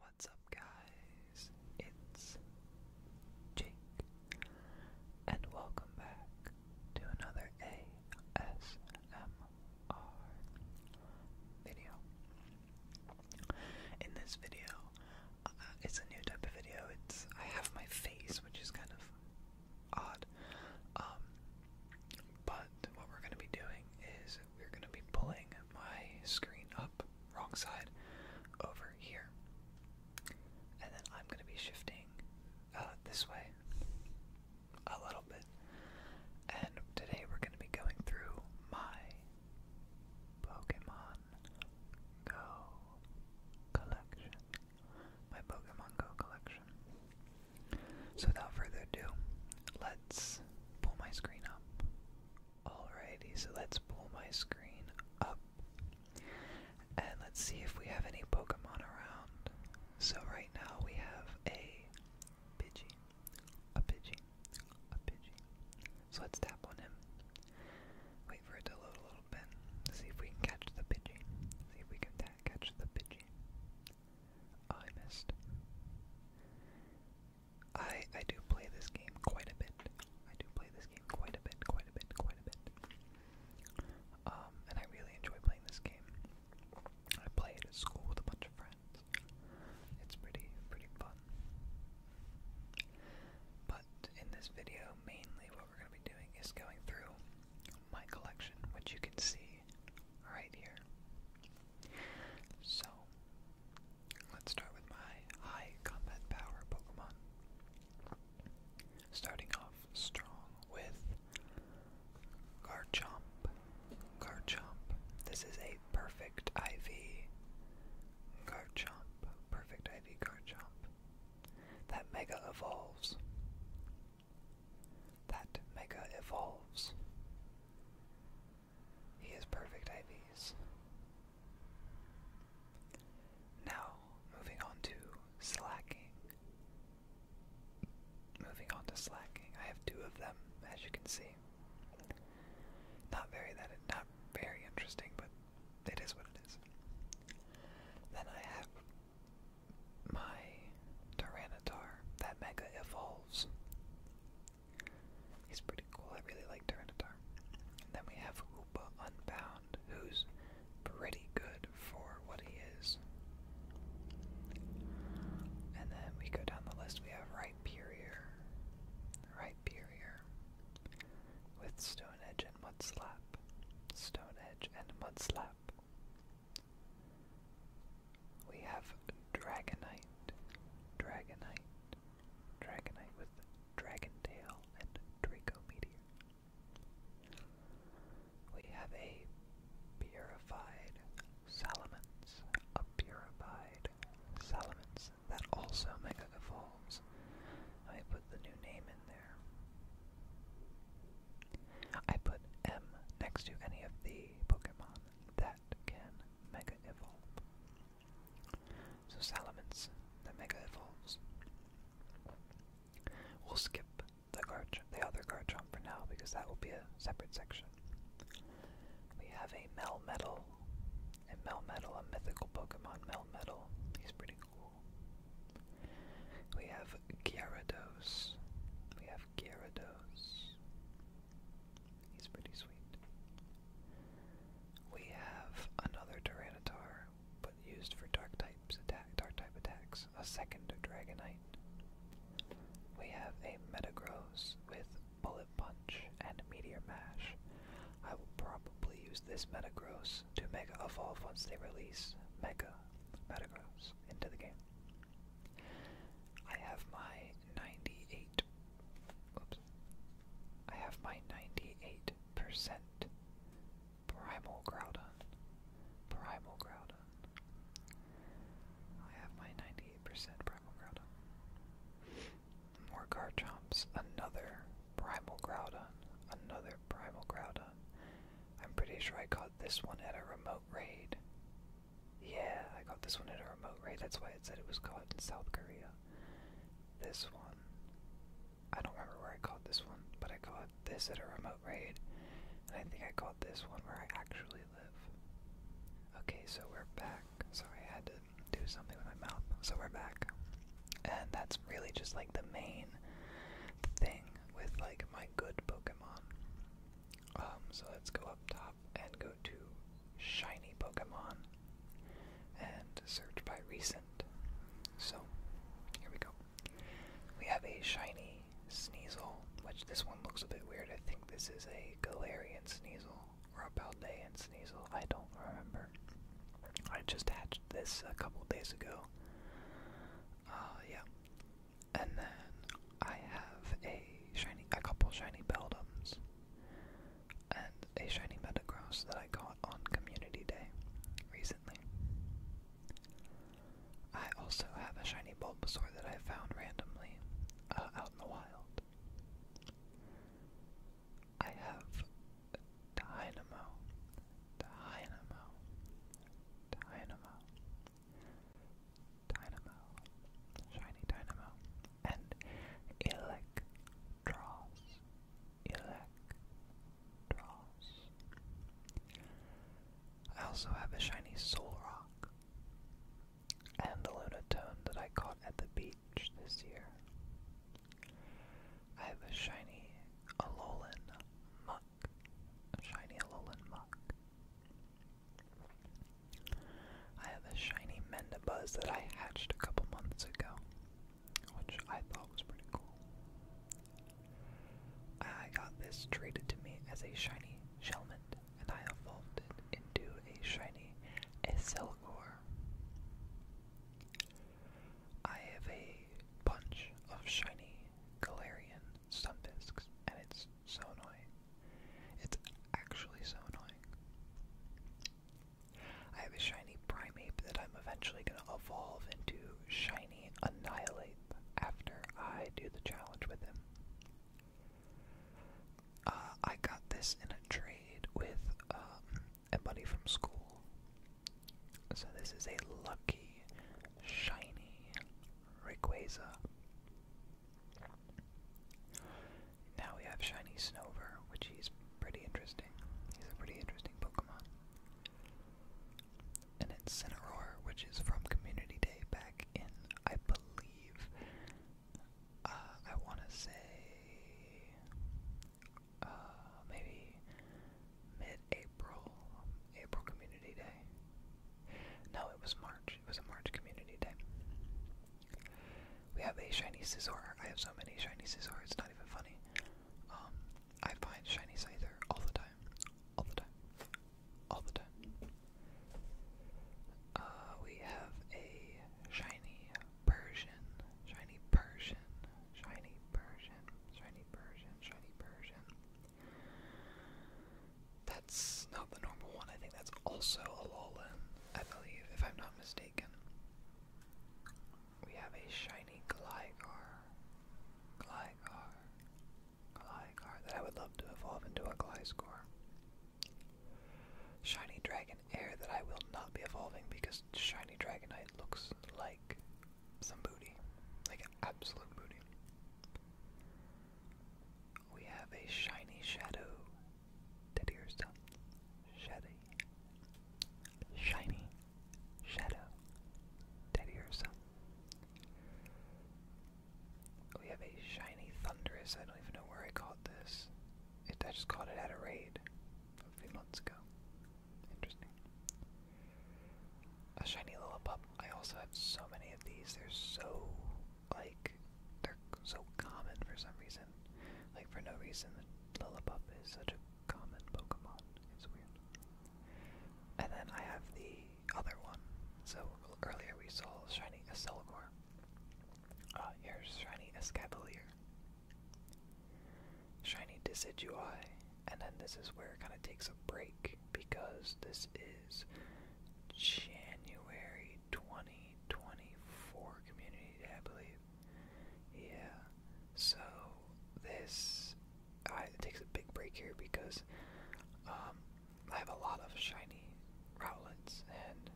What's up, guys? It's Jake, and welcome back to another ASMR video. In this video, uh, it's a new type of video. It's I have my face, which is kind of odd. Um, but what we're gonna be doing is we're gonna be pulling my screen up wrong side, over here. And then I'm going to be shifting uh, this way a little bit. And today we're going to be going through my Pokemon Go collection. My Pokemon Go collection. So without further ado, let's pull my screen up Alrighty, so let's pull my screen up. And let's see if we have any Pokemon around. So right now we have a Pidgey. A Pidgey. A Pidgey. So let's tap on him. Wait for it to load a little bit. See if we can catch the Pidgey. See if we can catch the Pidgey. Oh, I missed. I I do play this game quite a bit. I do play this game quite a bit, quite a bit, quite a bit. Um, and I really enjoy playing this game. I play it at school with a bunch of friends. It's pretty pretty fun. But in this video, mainly what we're gonna be doing is going through my collection, which you can see right here. So, let's start with my high combat power Pokemon. Starting off strong with Garchomp. Garchomp. This is a perfect IV. Garchomp. Perfect IV Garchomp. That Mega Evolves. That Mega Evolves. He has perfect IVs. Now, moving on to slacking. Moving on to slacking. I have two of them, as you can see. Not very that not very interesting, but it is what it is. Then I have my Tyranitar that mega evolves. He's pretty cool. I really like Tyranitar. And then we have Hoopa Unbound, who's pretty good for what he is. And then we go down the list. We have Rhyperior. Rhyperior. With Stone Edge and Mud Slap. Stone Edge and Mud Slap. We have Dragonite, Dragonite, Dragonite with Dragon Tail and Draco Meteor. We have a purified Salamence, a purified Salamence that also Mega Evolves. I put the new name in there. I put M next to any of the Pokemon that can Mega Evolve. So Salamence that Mega Evolves. We'll skip the, Garch the other Garchomp for now because that will be a separate section. We have a Melmetal, and Melmetal, a mythical Pokemon Melmetal. He's pretty cool. We have Gyarados. We have Gyarados. He's pretty sweet. We have another Tyranitar, but used for dark types attack dark type attacks. A second Dragonite. We have a Metagross with Bullet Punch and Meteor Mash. I will probably use this Metagross to Mega Evolve once they release Mega Metagross into the game. I have my 98 oops. I have my 98% Primal Groudon. Primal Groudon. I have my 98% Primal Groudon. More Garchomps. Another Primal Groudon. Another Primal Groudon. I'm pretty sure I caught this one at a remote raid. Yeah, I caught this one at a remote raid. That's why it said it was caught in South Korea. This one. I don't remember where I caught this one, but I caught this at a remote raid. And I think I caught this one where I actually live. Okay, so we're back. Sorry, I had to do something with my mouth. So we're back. And that's really just like the main thing with like my good Pokemon. Um, so let's go up top and go to shiny Pokemon and search by recent. So here we go. We have a shiny Sneasel, which this one looks a bit weird. I think this is a Galarian Sneasel or a Beldean Sneasel. I don't remember. I just hatched this a couple days ago. Uh, yeah. And then I have a shiny, a couple shiny Beldums and a shiny Metagross that I got on Community Day recently. I also have a shiny Bulbasaur that I found randomly uh, out in the wild. I have Dynamo, Dynamo, Dynamo. Dynamo. Shiny Dynamo. And Electros. Electros. I also have a shiny Solrock. And the Lunatone that I caught at the beach this year. I have a shiny Alolan Mutt shiny Alolan Muck. I have a shiny Mendabuzz that I hatched a couple months ago, which I thought was pretty cool. I got this traded to me as a shiny Shelmet, and I evolved it into a shiny Esselgor. I have a bunch of shiny Galarian stun and it's so annoying. It's actually so annoying. I have a shiny Primeape that I'm eventually going to evolve into shiny Annihilate after I do the challenge with him. Uh, I got this in a trade with um, a buddy from school. So this is a lucky, shiny Rayquaza. Now we have shiny Snover, which is pretty interesting. He's a pretty interesting Pokemon. And it's Cineroar, which is from Community Day back in, I believe, uh, I want to say uh, maybe mid-April, April Community Day. No, it was March. It was a March Community Day. We have a shiny Scizor. I have so many shiny Scizor, it's not even funny. Um, I find shiny Scyther all the time. All the time. All the time. Uh, we have a shiny Persian, shiny Persian, shiny Persian, shiny Persian, shiny Persian. That's not the normal one. I think that's also a Alolan, I believe, if I'm not mistaken. We have a shiny Gligar. Gligar. Gligar that I would love to evolve into a Gliscor. Shiny Dragon Air that I will not be evolving because Shiny Dragonite looks like like some booty. Like absolute booty. We have a shiny shadow. Teddy or stuff. Shady. Shiny shadow. Teddy or stuff. We have a shiny thunderous. I don't even know where I caught this. I just caught it at a raid a few months ago. Interesting. A shiny Lillipup. I also have so many of these. They're so, like, they're so common for some reason. Like, for no reason, Lillipup is such a common Pokemon. It's weird. And then I have the other one. So, earlier we saw a shiny Esselgor. Uh, here's shiny Escavalier. Shiny Decidueye, and then this is where it kind of takes a break because this is January 2024 Community I believe. Yeah, so this takes a big break here because um, I have a lot of shiny Rowlets, and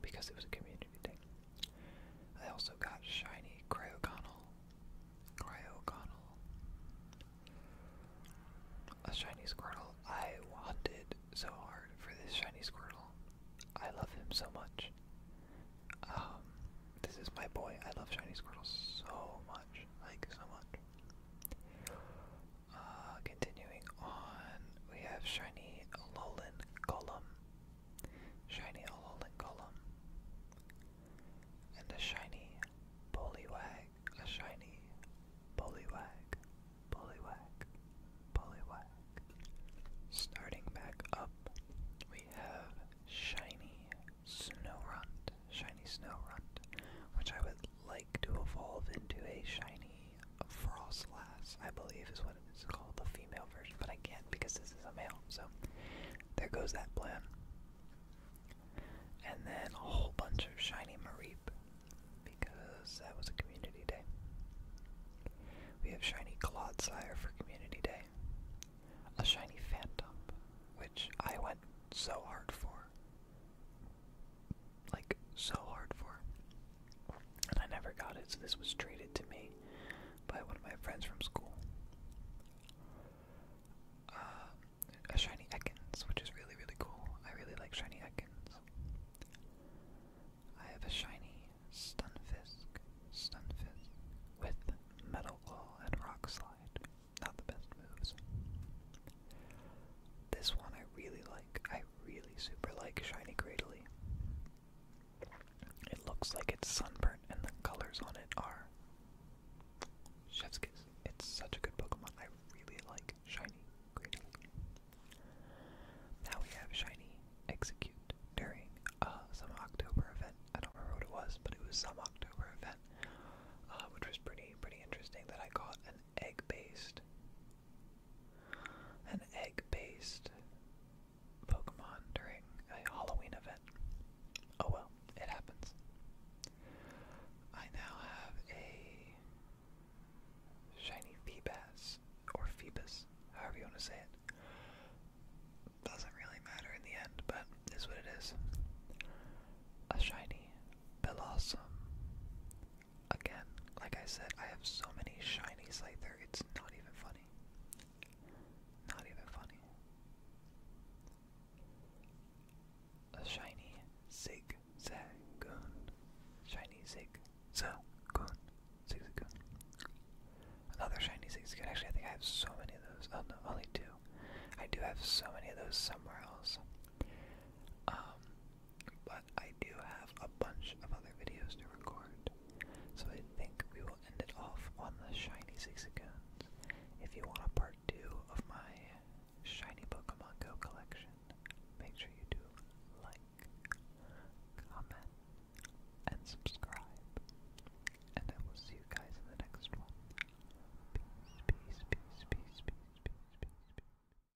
because it was a community thing. I also got shiny Cryogonal. Cryogonal. A shiny Squirtle. I wanted so hard for this shiny Squirtle. I love him so much. Um, this is my boy. I love shiny Squirtle so much. Like, so much. Uh, continuing on, we have shiny Alolan Golem shiny Ololan Golem, and a shiny Poliwag, a shiny Poliwag, Poliwag, Poliwag. Starting back up, we have shiny Snowrunt, shiny Snowrunt, which I would like to evolve into a shiny Frostlass, I believe is what it's called, the female version, but I can't because this is a male, so there goes that plan. And then a whole bunch of shiny Mareep, because that was a community day. We have shiny sire for community day. A shiny Phantom, which I went so hard for. Like, so hard for and I never got it, so this was traded to me by one of my friends from school. Uh, a shiny Ekans, which is really, really cool. I really like shiny Ekans. I have a shiny Stunfisk, Stunfisk, with Metal Claw and Rock Slide. Not the best moves. This one I really like. I really super like Shiny Cradily. It looks like it's sunburnt, and the colors on it are chef's kiss. It's such a good Pokemon. I really like Shiny Now we have Shiny Execute during uh, some October event. I don't remember what it was, but it was some October event, uh, which was pretty pretty interesting. That I got an egg-based an egg based Pokemon during a Halloween event. Oh well, it happens. I now have a shiny Phoebas, or Phoebus, however you want to say it. Doesn't really matter in the end, but is what it is. A shiny Bellossom Again, like I said, I have so many shinies like there, it's not even funny. Not even funny. A shiny zig zagoon. Shiny zig zagoon. Zig zagoon. Another shiny zig zagoon. Actually, I think I have so many of those. Oh no, only two. I do have so many of those somewhere else. Um, but I do have a bunch of other videos to record, so I think we will end it off on the shiny Sixagoons. If you want a part two of my shiny Pokemon Go collection, make sure you do like, comment, and subscribe. And I will see you guys in the next one. Peace, peace, peace, peace, peace, peace, peace, peace.